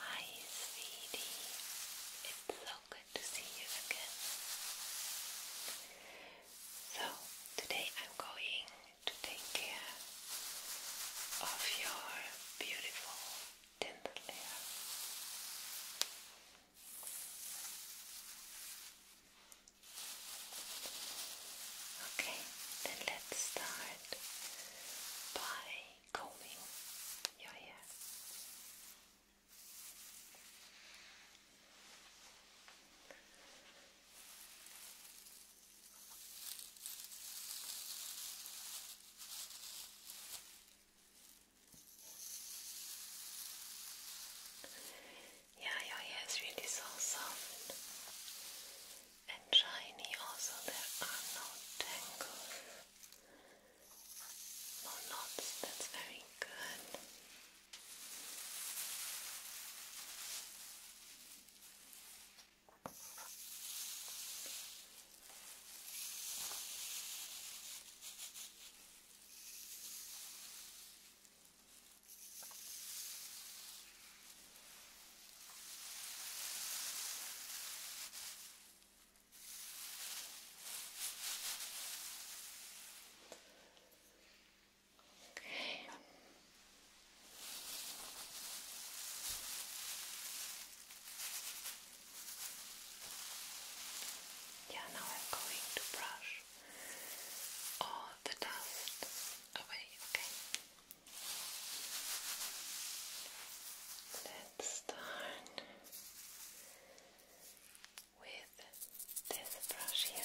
Hi, sweetie. It's so good to see you again. So, today I'm going to take care of your beautiful dental layer. Okay, then let's start by combing your hair. Yeah, your really so soft and shiny. Also, there are no tangles, no knots. That's very good. Okay. Yeah, now I'm going to brush all the dust away, okay? Let's start with this brush here.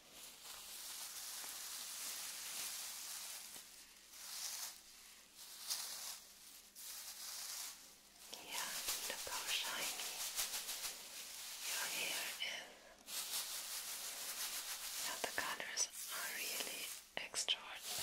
Yeah, look how shiny your hair is. Now the colors are really extraordinary.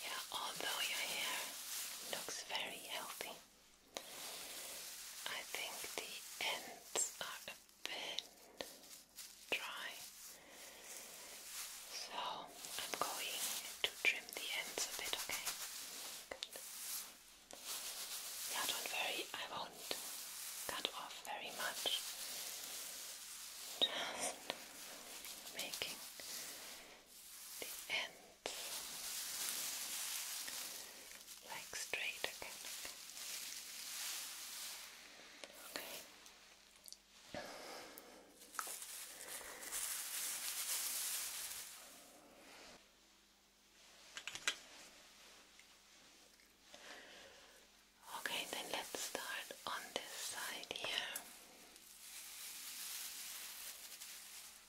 Yeah, although your hair looks very healthy, I think the ends are a bit dry, so I'm going to trim the ends a bit, okay? Yeah, don't worry, I won't cut off very much. Just making the end, like straight again. Okay. Okay, then let's start on this side here.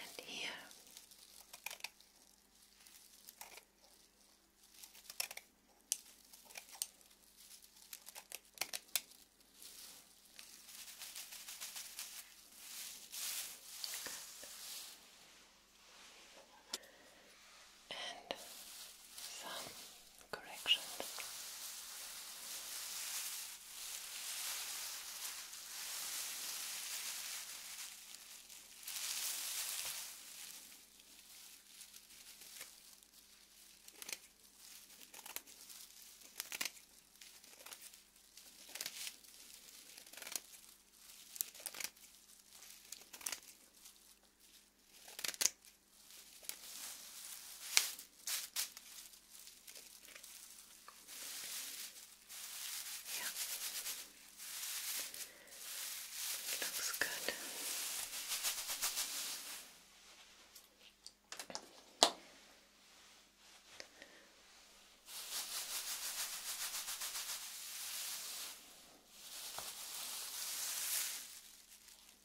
and here. Good. And some correction. Okay. Yeah. It looks good. Okay.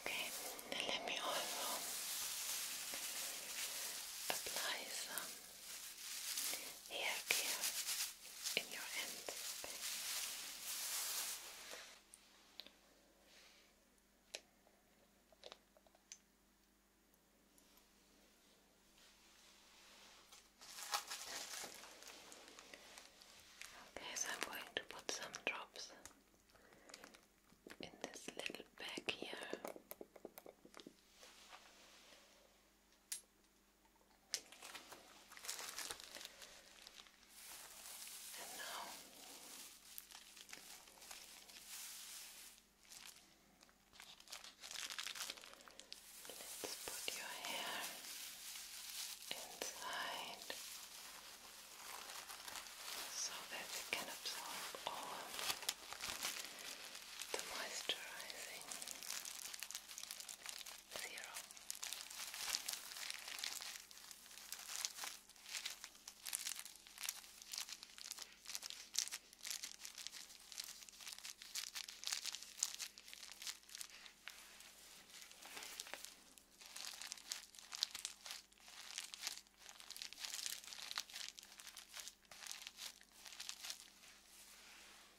Okay, now let me also apply some hair care in your hands. Okay, so I'm going to put some drops in this little bag here. And now let's put your hair inside so that it can absorb all the moisturizing zero.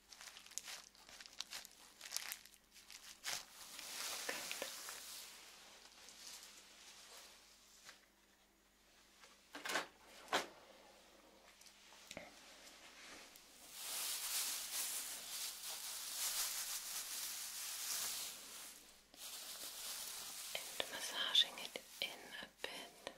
And massaging it in a bit.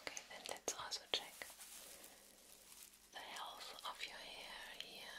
Okay, then let's also check the health of your hair here.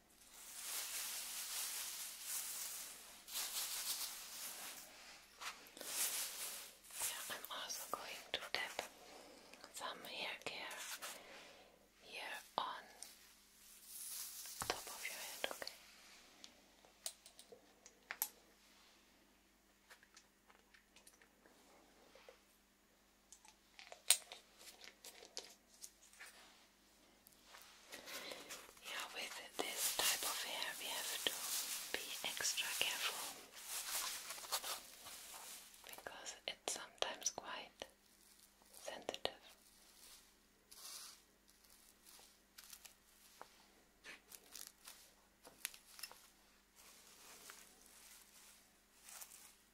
Yeah, I'm also going to tap some hair care here on top of your head, okay? Yeah, with this type of hair we have to be extra careful because it's sometimes quite sensitive.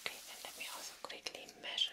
Okay, and let me also quickly measure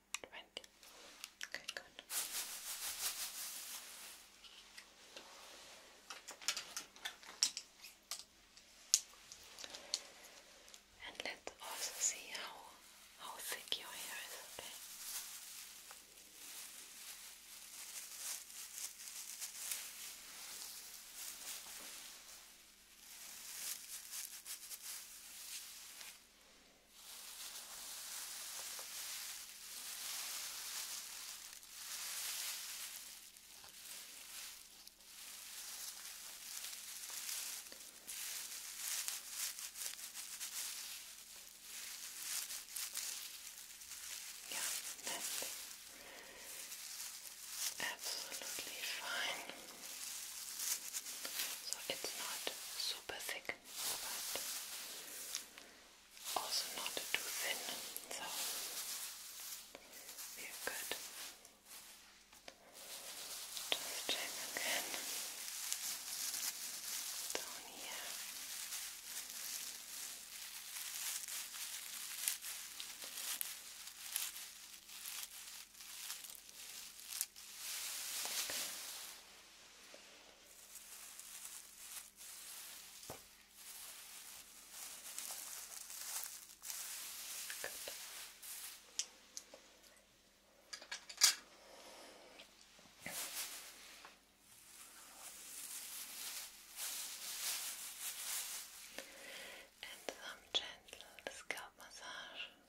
Okay, good. And let's also see how how thick your hair is, yeah, that's absolutely fine. So it's not super thick but also not too thin, so we are good. Just check again down here. And some gentle scalp massage.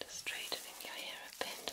Just straightening your hair a bit.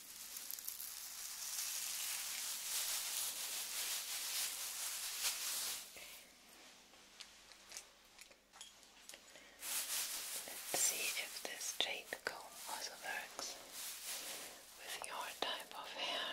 Let's see if this jade comb also works with your type of hair.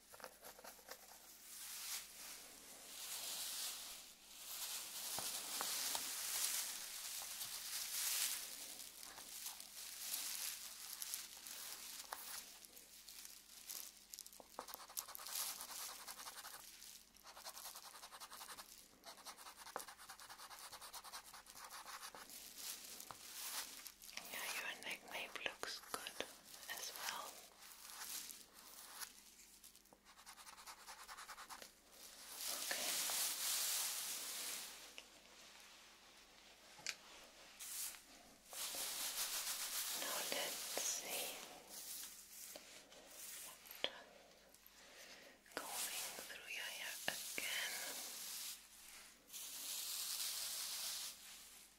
Yeah, your neck nape looks good as well. Now let's see. Just combing through your hair again.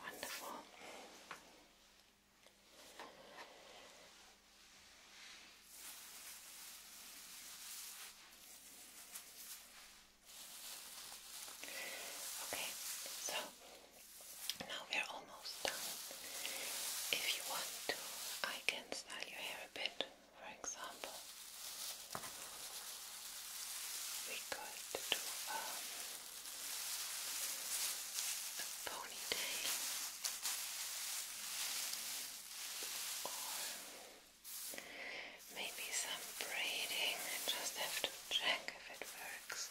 Wonderful. Okay, so now we're almost done. If you want to, I can style your hair a bit. For example, we could do um, a ponytail or maybe some braiding. just have to check if it works.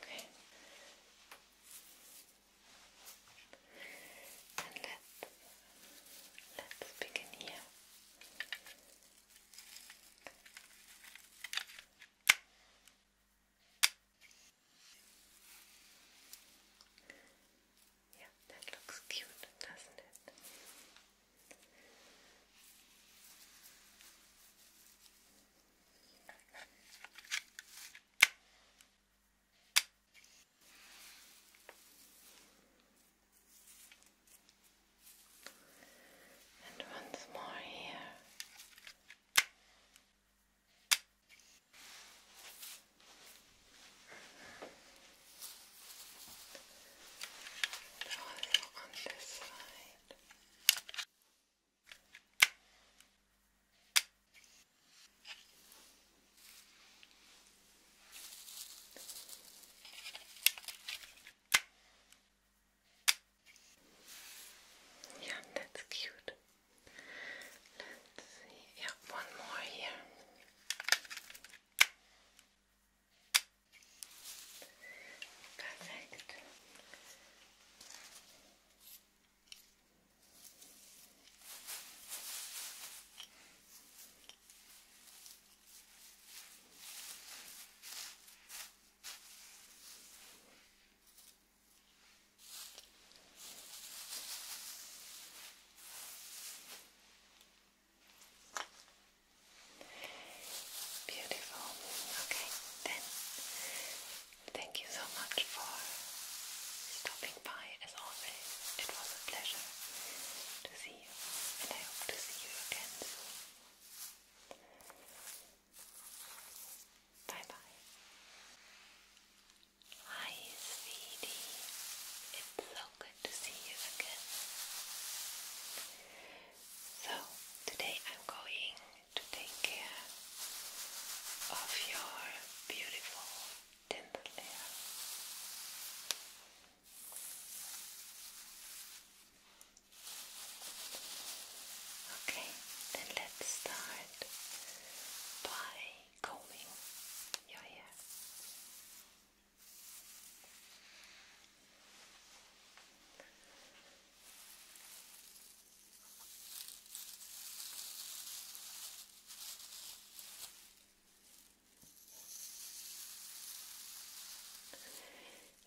Okay. And let's let's begin here. Yeah, that looks cute, doesn't it? And once more here. also on this side. Yeah, that's cute. Let's see. Yeah, one more here. Perfect. Beautiful. Okay, then thank you so much for stopping by as always. It was a pleasure to see video and I hope to see you again Bye bye. Hi sweetie, it's so good to see you again. So today I'm going to take care of your beautiful dental layer. Okay, then let's start by combing your hair.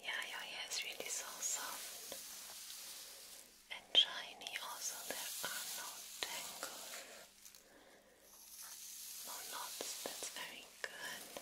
Yeah, your hair is really soft and shiny. Also, there are no tangles, no knots. That's very Good.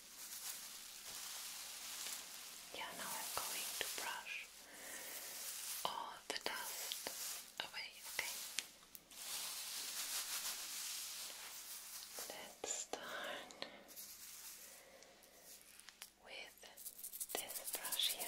Yeah, now I'm going to brush all the dust away, okay? Let's start with this brush here.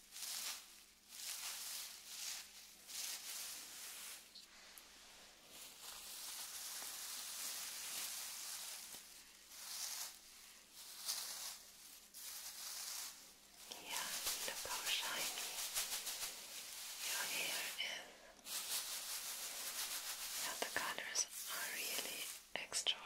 Yeah, look how shiny your hair is. Now the colors are really extraordinary.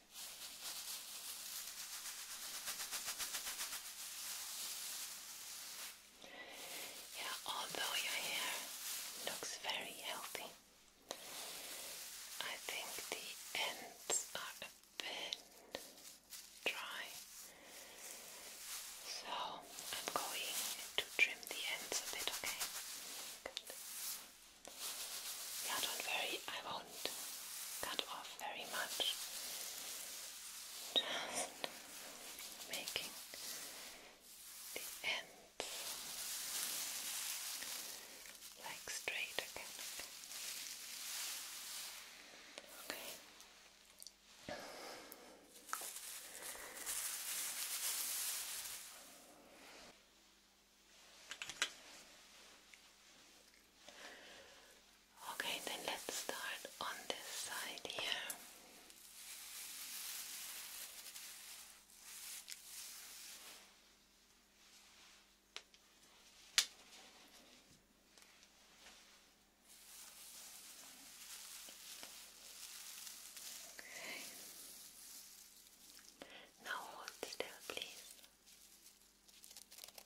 Yeah, although your hair looks very healthy, I think the ends are a bit dry. So I'm going to trim the ends a bit, okay? Good. Yeah, don't worry, cut off very much, just making the ends like straight again. Okay, then let's start on this side here. Now hold still, please.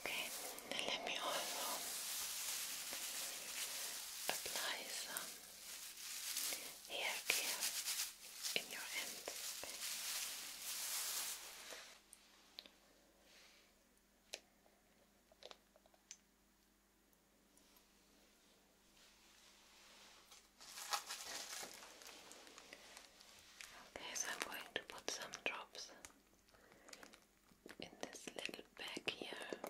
Okay, let me also apply some hair care in your hands. Okay, so I'm going to put some drops in this little bag here. And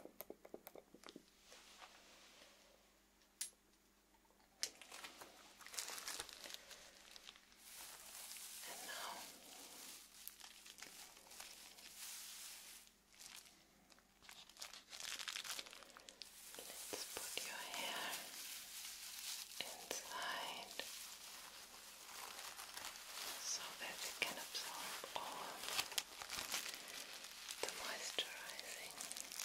now let's put your hair inside so that it can absorb all the moisturizing serum.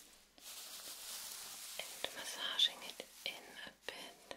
and massaging it in a bit.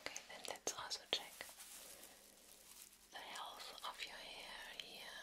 Okay, then let's also check the health of your hair here.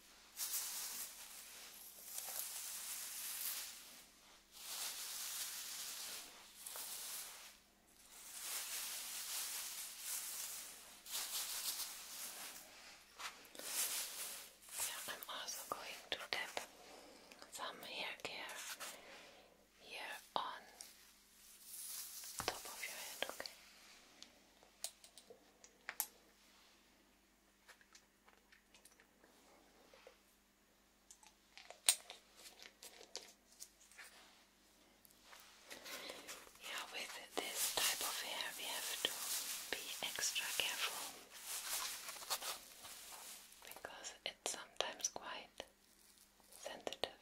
Yeah, I'm also going to tap some hair care here on top of your head, Okay. Yeah, with this type of hair, we have to be extra careful because it's sometimes quite sensitive.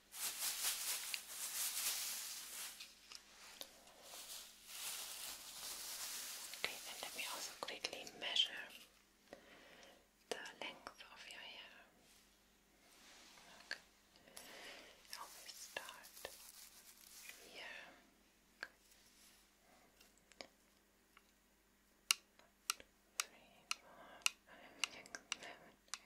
Okay, then let me also quickly measure the length of your hair. Okay. I always start here. Good. Three, four, five, six, seven, eight.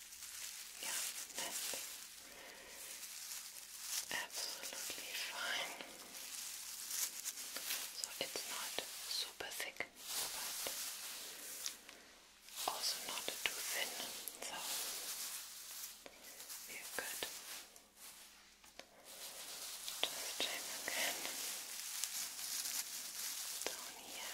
Yeah, that's absolutely fine. So it's not super thick, but also not too thin. So we're Just check again down here.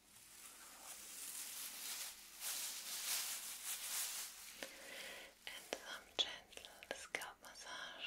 and some gentle scalp massage.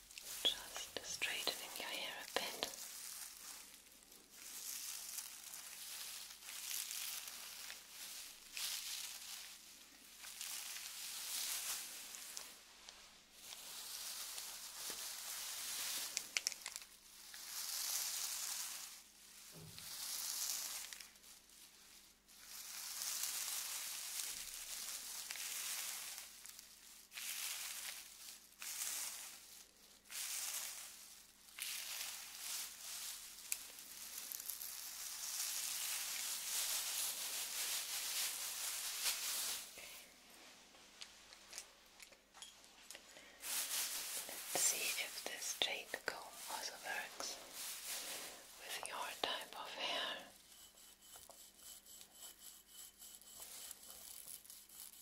Just straightening your hair a bit see if this jade comb also works with your type of hair.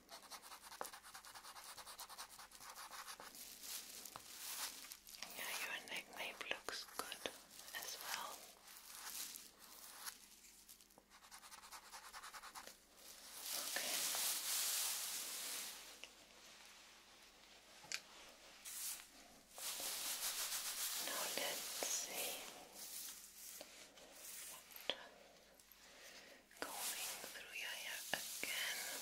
Yeah, your nickname looks good as well. Okay. Now let's see. One, two, combing through your hair again. Good.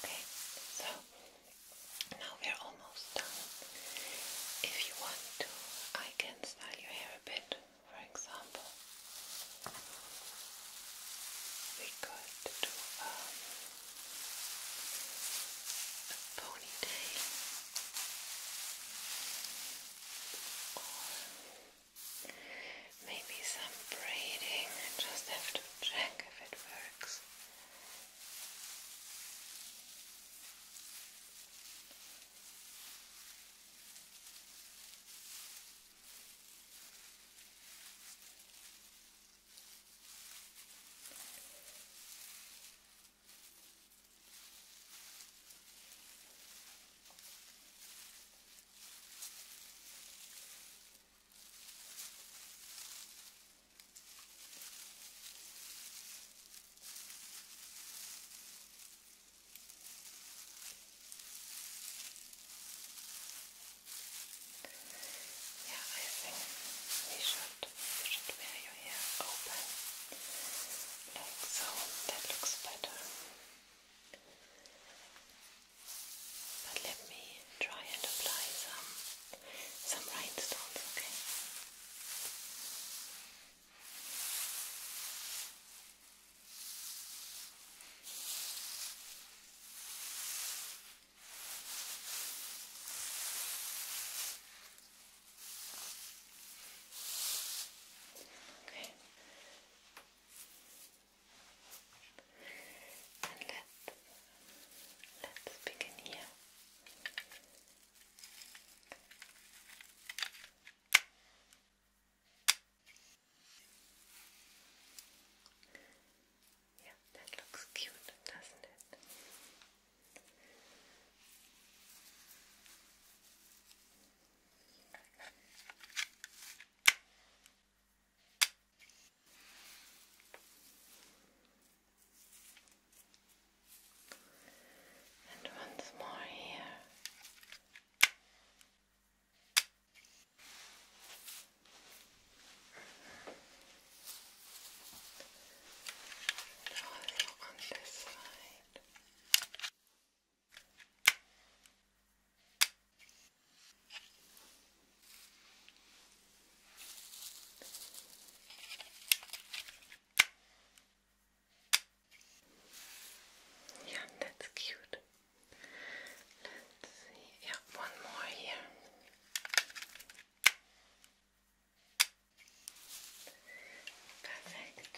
Okay, so now we're almost done. If you want to, I can style your hair a bit, for example. We could do um, a ponytail or Maybe some braiding, I just have to check if it works. Yeah, I think we should, we should wear your hair open like so. That looks better. But let me try and apply some some rhinestones, okay? Okay, and let, let's begin here. Yeah, that looks cute, doesn't it? And once more here. And also on this side. Yeah, that's cute. Let's see. Yeah, one more here. Perfect.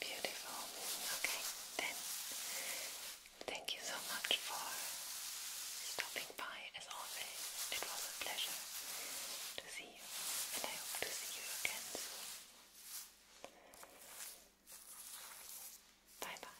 Beautiful. Okay, then Thank you so much for stopping by as always. It was a pleasure to see you, and I hope to see you again Bye bye.